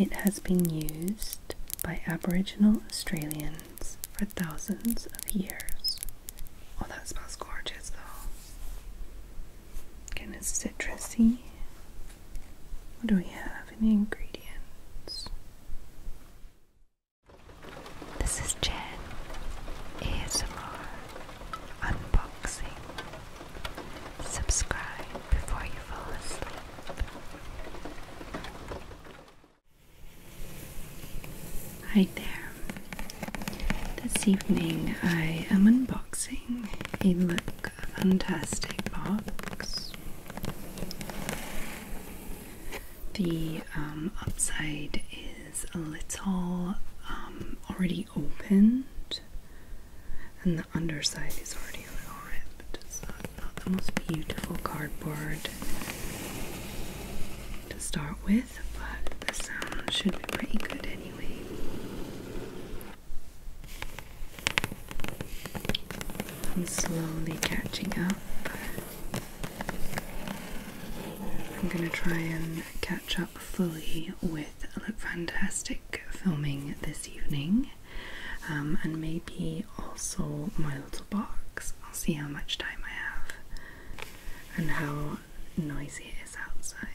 It has been used by Aboriginal Australians for thousands of years. Oh, that smells gorgeous though. Kind of citrusy. What do we have? have any ingredients? This is Jen ASMR Unboxing. Subscribe before you fall asleep. Hi there. This evening I am unboxing a lip fantastic box. The um, upside is a little um, already opened, and the underside is already a little ripped. So it's not the most beautiful cardboard to start with, but the sound should be pretty good anyway. I'm slowly catching up. I'm gonna try and catch up fully with Fantastic filming this evening, um, and maybe also my little box. I'll see how much time I have and how noisy it is outside.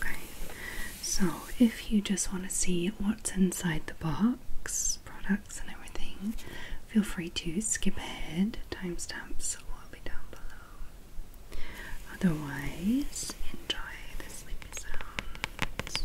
Okay, so if you just want to see what's inside the box, products and everything, feel free to skip ahead. Timestamps will be down below. Otherwise, enjoy the sleepy sounds.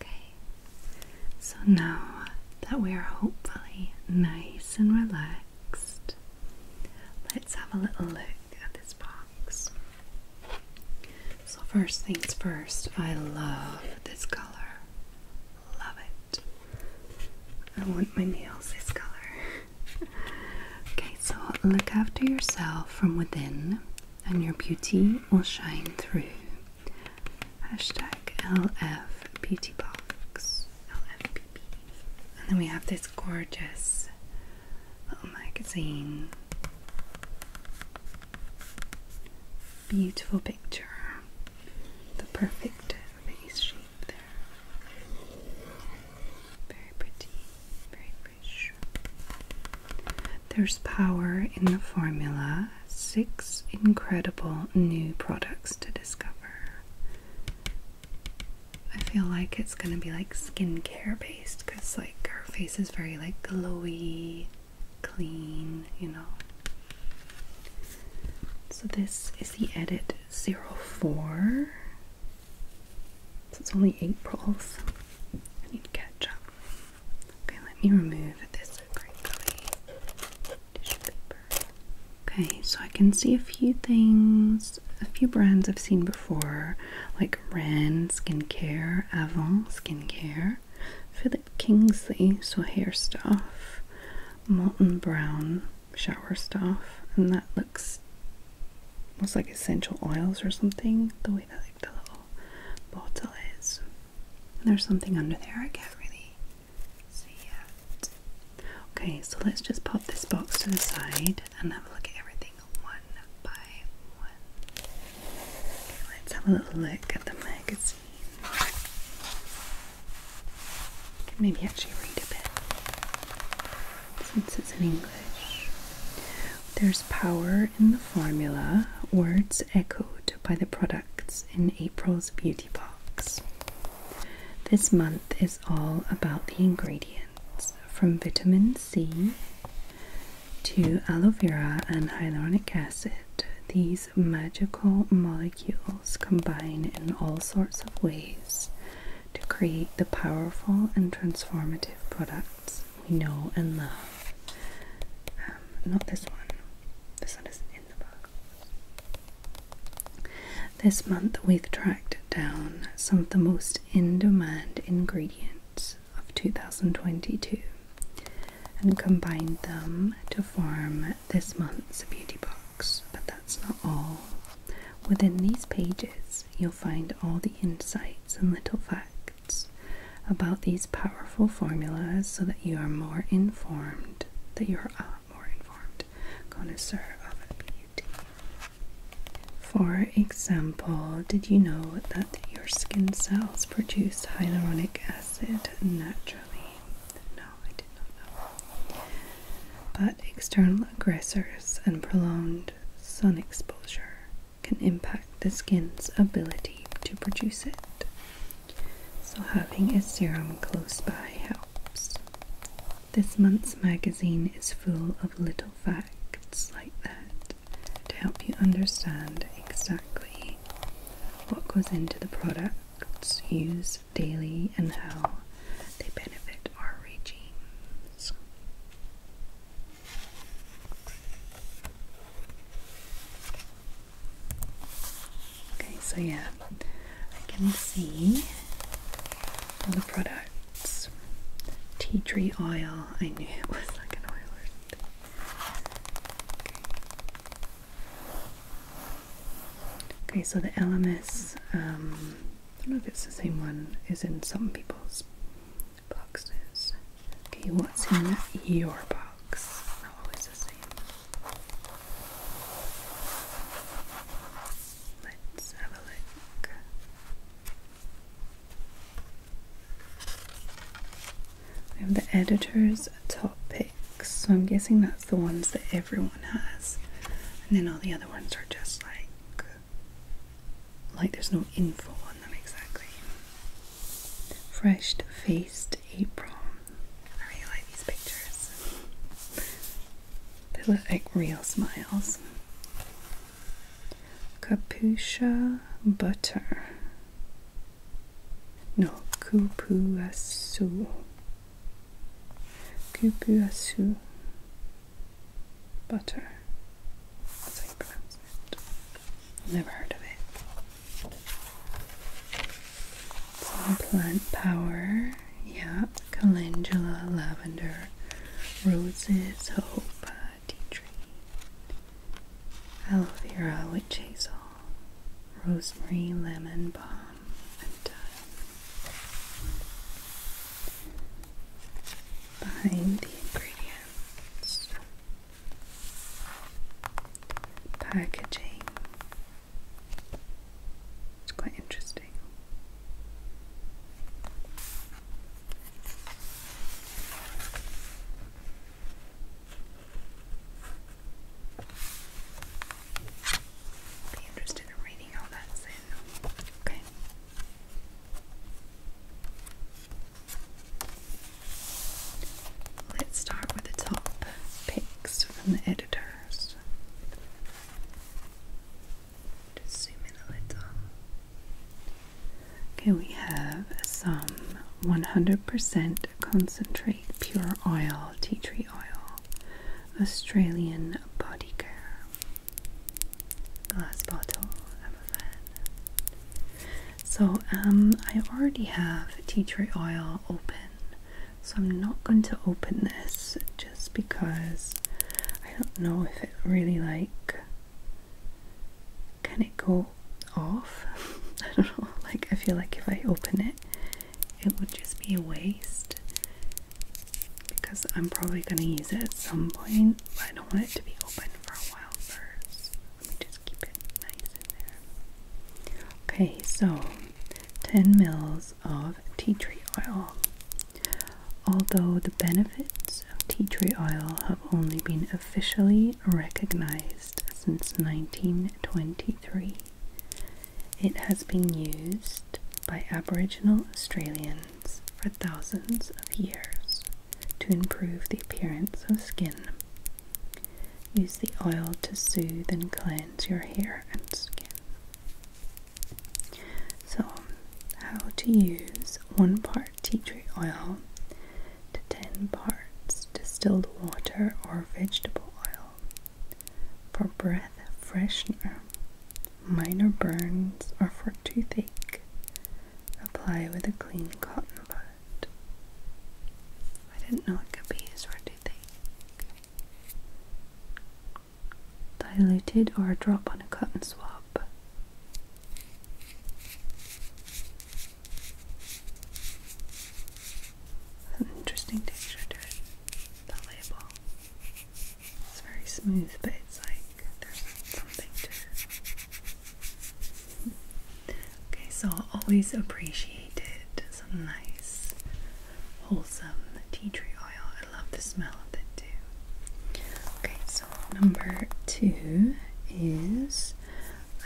Okay, so now that we are hopefully nice and relaxed, let's have a little look at this box. So, first things first, I love this color. Love it. I want my nails this color. okay, so look after yourself from within and your beauty will shine through. Hashtag LF Beauty Box. And then we have this gorgeous little magazine. Beautiful picture. The perfect face shape there. Very pretty, very there's power in the formula. Six incredible new products to discover. I feel like it's gonna be like skincare based because like her face is very like glowy, clean, you know. So this is the edit zero four. So it's only April's. I need to catch up. Okay, let me remove this crinkly tissue paper. Okay, so I can see a few things, a few brands I've seen before, like Ren Skincare, Avon Skincare, Philip Kingsley, so hair stuff, Molten Brown shower stuff, and that looks almost like essential oils or something. The way that like the bottle is. There's something under there, I can't really see it. Okay, so let's just pop this box to the side and have a look at everything one by one. Okay, let's have a little look at the magazine. can maybe actually read a bit since it's in English. There's power in the formula, words echoed by the products in April's Beauty Box. This month is all about the ingredients from vitamin C to aloe vera and hyaluronic acid. These magical molecules combine in all sorts of ways to create the powerful and transformative products we know and love. Um, not this one. This one isn't in the book. This month we've tracked down some of the most in-demand ingredients of 2022 and combined them to form this month's beauty box. But that's not all. Within these pages, you'll find all the insights and little facts about these powerful formulas so that you are more informed, that you are a uh, more informed connoisseur of beauty. For example, did you know that your skin cells produce hyaluronic acid naturally? No, I did not know. But external aggressors and prolonged sun exposure can impact the skin's ability to produce it. So, having a serum close by helps. This month's magazine is full of little facts like that to help you understand exactly what goes into the products used daily and how they benefit our regimes. Okay, so yeah, I can see all the products. Tea tree oil, I knew it was like an oil Okay, so the LMS, um, I don't know if it's the same one, is in some people's boxes. Okay, what's in your box? Not always the same. Let's have a look. the editor's top picks, so I'm guessing that's the ones that everyone has, and then all the other ones are just like like there's no info on them exactly. Fresh faced apron. I really like these pictures. They look like real smiles. Capucha butter. No, kupuasu. Kupuasu butter. Never heard of it. Some plant power. Yeah, calendula, lavender, roses, hope, tea tree, aloe vera, witch hazel, rosemary, lemon balm, and the ingredients packaging. It's quite interesting. Be interested in reading all that's Okay. Let's start with the top picks from the editors. Just zoom in a little. Okay, we have some 100% concentrate pure oil, tea tree oil, Australian body care glass bottle. i a fan. So um, I already have tea tree oil open, so I'm not going to open this just because I don't know if it really like can it go off. I don't know. Like I feel like if I open it, it would just be a waste because I'm probably going to use it at some point. But I don't want it to be open Okay, so 10 mils of tea tree oil. Although the benefits of tea tree oil have only been officially recognized since 1923, it has been used by Aboriginal Australians for thousands of years to improve the appearance of skin. Use the oil to soothe and cleanse your hair and skin. So, how to use one part tea tree oil to 10 parts distilled water or vegetable oil for breath freshener, minor burns, or for toothache, Apply with a clean cotton bud. I didn't know it could be used for Diluted or a drop on a cotton swab. interesting texture to it. The label. It's very smooth, but it's like Okay, so I always appreciated some nice, wholesome tea tree oil. I love the smell of it too. Okay, so number two is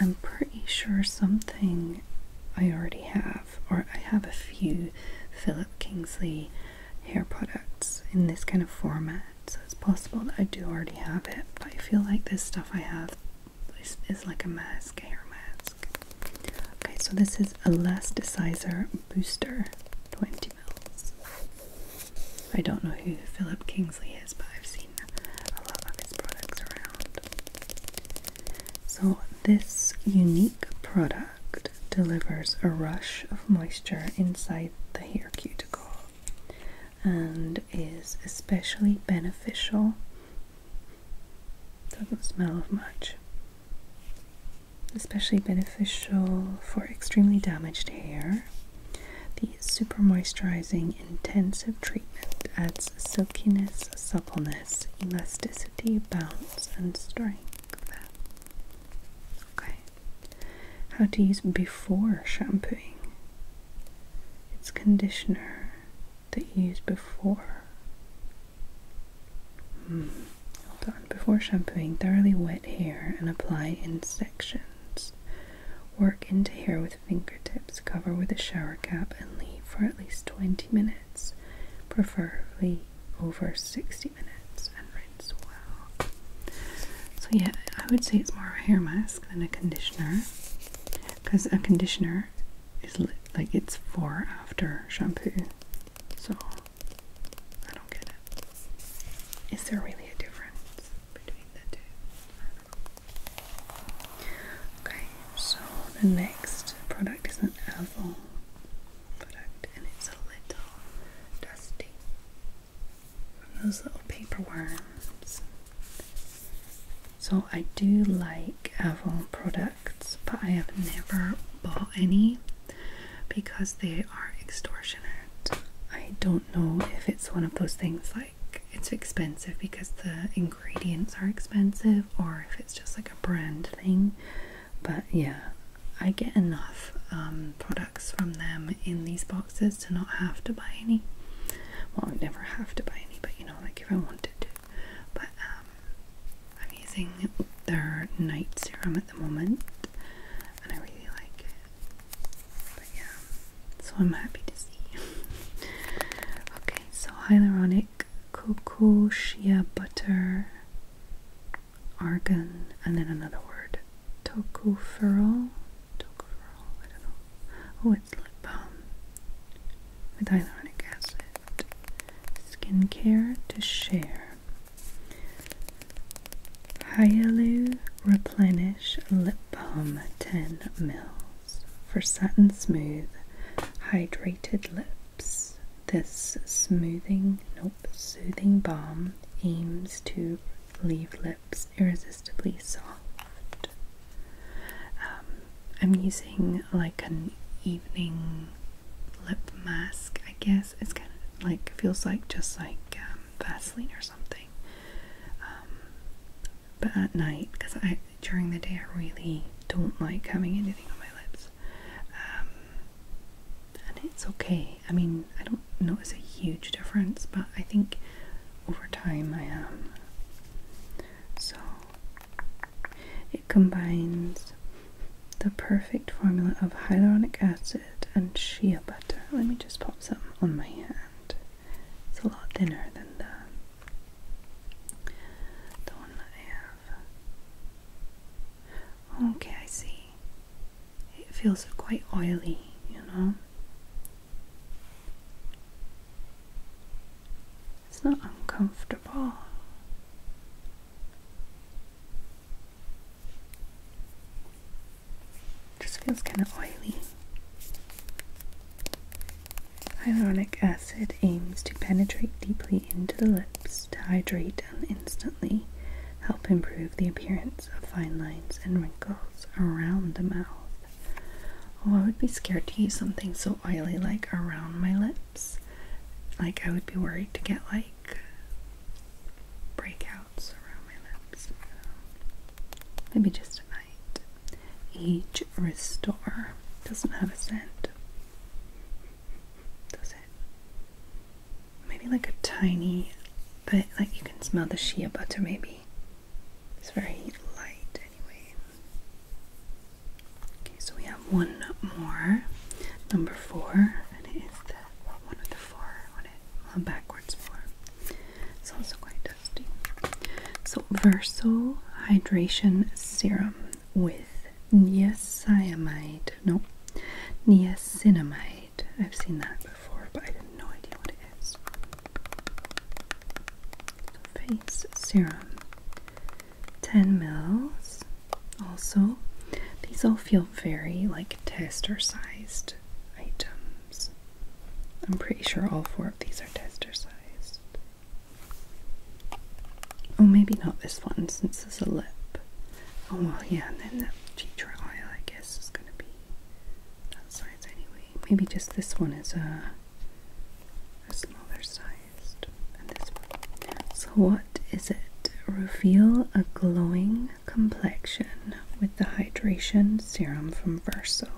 I'm pretty sure something I already have, or I have a few Philip Kingsley hair products in this kind of format. So it's possible that I do already have it, but I feel like this stuff I have is, like a mask, hair mask. Okay, so this is Elasticizer Booster 20 mils. I don't know who Philip Kingsley is, but I've seen a lot of his products around. So this unique product delivers a rush of moisture inside the hair cuticle and is especially beneficial. Doesn't smell of much. Especially beneficial for extremely damaged hair. The super moisturizing intensive treatment adds silkiness, suppleness, elasticity, bounce, and strength. Okay. How to use before shampooing. It's conditioner that you use before. Hmm. Hold on. Before shampooing, thoroughly wet hair and apply in sections. Work into hair with fingertips, cover with a shower cap, and leave for at least 20 minutes, preferably over 60 minutes, well. So yeah, I would say it's more a hair mask than a conditioner, because a conditioner is li like it's for after shampoo. So I don't get it. Is there really a difference between the two? Okay, so the next product is an Avon product and it's a little dusty those little paper worms. So I do like Avon products, but I have never bought any because they are extortionate. I don't know if it's one of those things like it's expensive because the ingredients are expensive or if it's just like a brand thing. But yeah, I get enough um, products from them in these boxes to not have to buy any. Well, I never have to buy any, but you know, like if I wanted to. But um, I'm using their night serum at the moment, and I really like it. But yeah, so I'm happy to see. okay, so hyaluronic cocoa shea butter argon, and then another word, tocopherol. Tocopherol, I don't know. Oh, it's lip balm with hyaluronic acid. Skincare to share. Hyalu Replenish Lip Balm 10 mils for satin smooth, hydrated lips. This smoothing, nope, soothing balm aims to leave lips irresistibly soft. Um, I'm using like an evening lip mask, I guess. It's kind of like, feels like just like um, Vaseline or something. Um, but at night, because I during the day I really don't like having anything on my lips and it's okay. I mean, I don't notice a huge difference, but I think over time I am. So it combines the perfect formula of hyaluronic acid and shea butter. Let me just pop some on my hand. It's a lot thinner than the the one that I have. Okay, I see it feels quite oily, you know. It's not uncomfortable. just feels kind of oily. Hyaluronic acid aims to penetrate deeply into the lips to hydrate and instantly help improve the appearance of fine lines and wrinkles around the mouth. Oh, I would be scared to use something so oily like around my lips. Like, I would be worried to get like breakouts around my lips. Maybe just a night. Age Restore doesn't have a scent. Does it? maybe like a tiny bit, like you can smell the shea butter maybe. It's very light anyway. Okay, so we have one more, number four, and it is the what, one of the four, what it, backwards four. It's also quite dusty. So Verso Hydration Serum with niacinamide, no, niacinamide. I've seen that before, but I have no idea what it is. Face serum. 10 mils. Also, these all feel very like tester sized items. I'm pretty sure all four of these are tester sized. Oh, maybe not this one since it's a lip. Oh well, yeah, and then the tea tree oil, I guess, is going to be that size anyway. Maybe just this one is a, uh, a smaller sized than this one. So what is it? Reveal a glowing complexion with the hydration serum from Verso.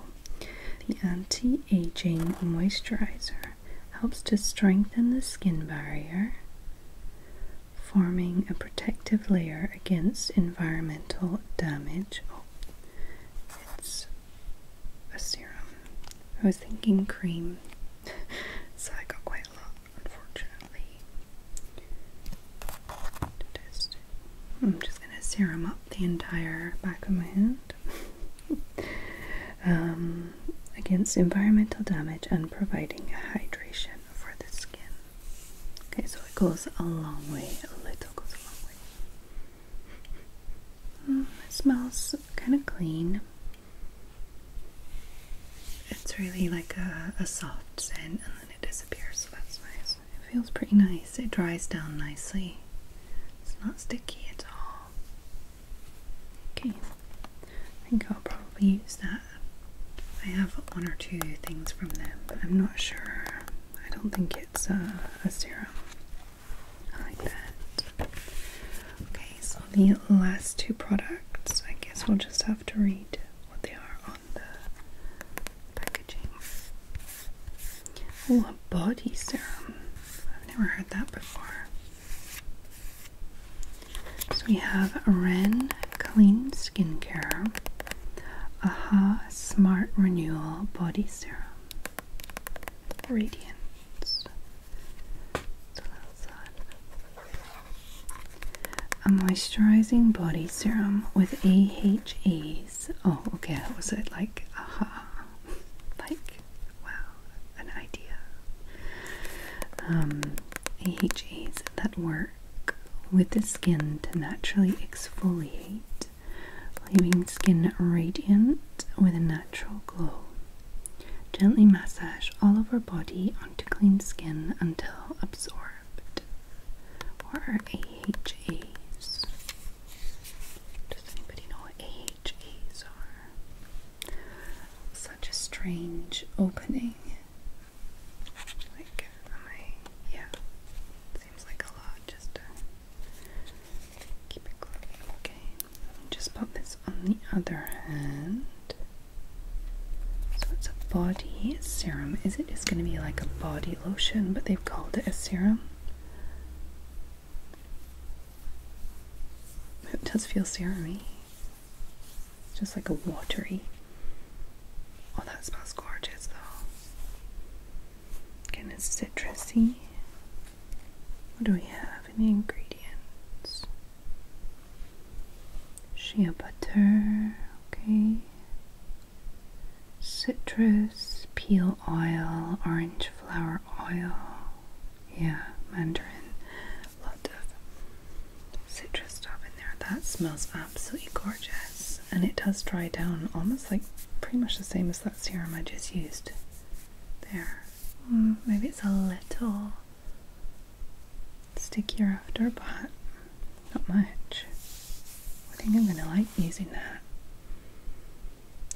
The anti-aging moisturizer helps to strengthen the skin barrier forming a protective layer against environmental damage. Oh, it's a serum. I was thinking cream, so I got quite a lot, unfortunately. I'm just going to serum up the entire back of my hand um, against environmental damage and providing hydration for the skin. Okay, so it goes a long way. A little goes a long way. Mm, it smells kind of clean. It's really like a, a soft scent and then it disappears, so that's nice. It feels pretty nice. It dries down nicely. It's not sticky at all. Okay, I think I'll probably use that. I have one or two things from them, but I'm not sure. I don't think it's a, a serum. I like that. Okay, so the last two products, I guess we'll just have to read what they are on the packaging. Oh, a body serum. I've never heard that before. So we have Ren Clean Skincare, Aha Smart Renewal Body Serum, Radiance. A moisturizing body serum with AHAs. Oh, okay, what was it. Like, aha. like, wow, an idea. Um, AHAs that work with the skin to naturally exfoliate, leaving skin radiant with a natural glow. Gently massage all over body onto clean skin until absorbed. Or are AHAs? Does anybody know what AHAs are? such a strange opening. Like, am I, yeah, seems like a lot just keep it clean. Okay, just pop this on the other hand. So it's a body serum. Is it is going to be like a body lotion, but they've called it a serum? It does feel serum just like a watery. Oh, that smells gorgeous though. Kind of citrusy. What do we have? in the ingredients? Shea butter, okay. Citrus, peel oil, orange flower oil. Yeah, mandarin. Lot of citrus stuff in there. That smells absolutely gorgeous and it does dry down almost like pretty much the same as that serum I just used there. Mm, maybe it's a little stickier after, but not much. I think I'm gonna like using that.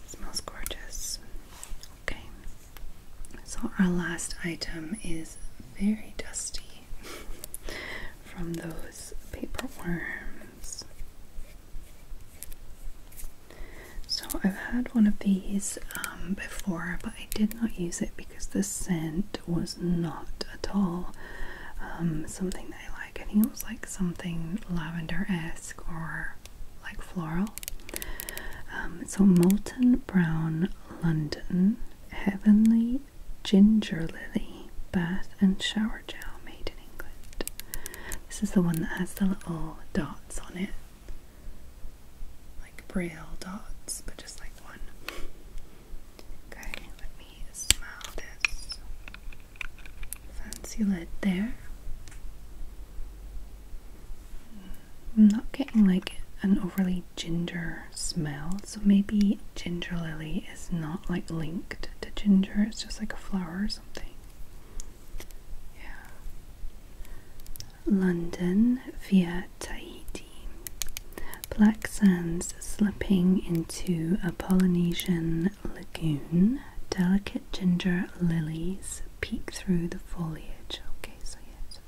It smells gorgeous. Okay, so our last item is very dusty from those paper worms. So I've had one of these um, before, but I did not use it because the scent was not at all um, something that I like. I think it was like something lavender-esque or like floral. Um, so molten brown London Heavenly Ginger Lily Bath and Shower Gel made in England. This is the one that has the little dots on it. Like braille dots, but just like one. Okay, let me smell this fancy lid there. I'm not getting like an overly ginger smell, so maybe ginger lily is not like linked to ginger, it's just like a flower or something. Yeah. London via Tahiti. Black sands slipping into a Polynesian lagoon. Delicate ginger lilies peek through the foliage. Okay, so yes,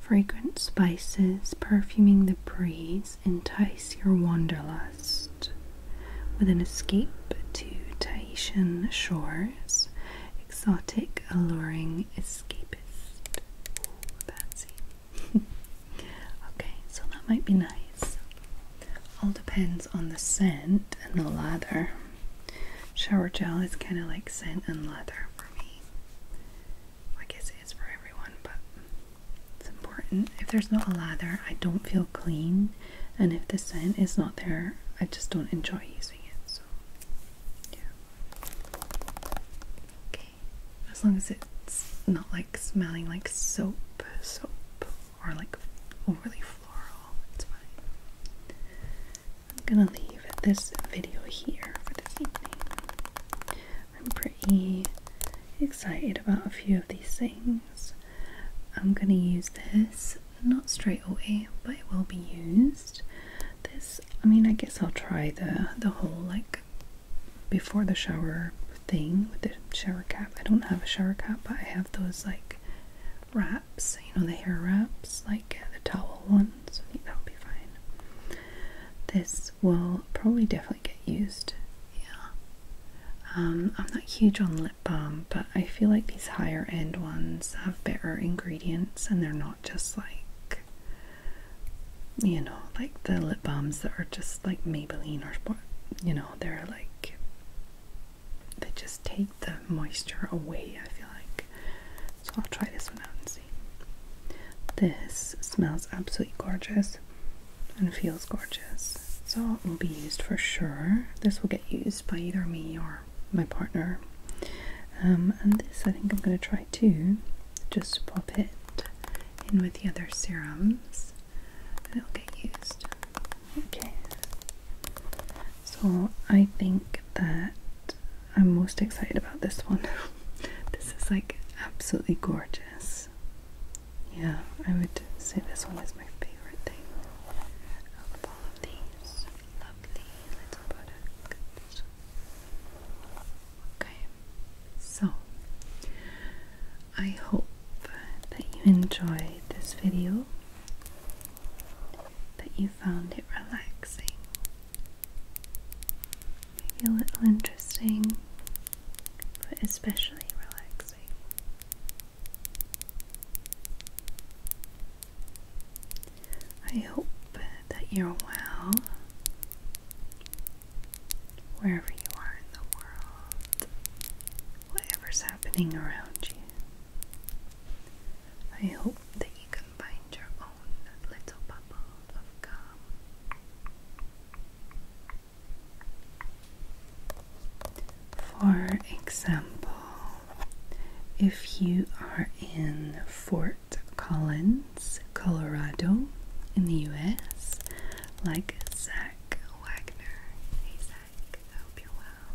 Fragrant spices perfuming the breeze entice your wanderlust. With an escape to Tahitian shores, exotic, alluring escapist. Ooh, Patsy. okay, so that might be nice. All depends on the scent and the lather. Shower gel is kind of like scent and leather for me. I guess it is for everyone, but it's important. If there's not a lather, I don't feel clean, and if the scent is not there, I just don't enjoy using it. So, yeah. Okay, as long as it's not like smelling like soap, soap, or like overly floral, it's fine. I'm gonna leave this video here for this evening. I'm pretty excited about a few of these things. I'm gonna use this not straight away, but it will be used. This, I mean, I guess I'll try the the whole like before the shower thing with the shower cap. I don't have a shower cap, but I have those like wraps, you know, the hair wraps, like the towel ones. that'll be fine. This will probably definitely get used. Yeah. Um, I'm not huge on lip balm, but I feel like these higher end ones have better ingredients and they're not just like, you know, like the lip balms that are just like Maybelline or what, you know, they're like they just take the moisture away, I feel like. So I'll try this one out and see. This smells absolutely gorgeous and feels gorgeous. So it will be used for sure. This will get used by either me or my partner. Um, and this I think I'm going to try to Just pop it in with the other serums it'll get used. Okay. So I think that I'm most excited about this one. this is like absolutely gorgeous. Yeah, I would say this one is my favorite thing of all of these lovely little products. Okay, so I hope that you enjoyed this video that you found it relaxing. a little interesting, but especially relaxing. I hope that you're well wherever you are in the world, whatever's happening around you. I hope that you can find your own little bubble of calm. For example, if you are in Fort Collins, Colorado, in the US, like Zach Wagner. Hey Zach, I hope you're well.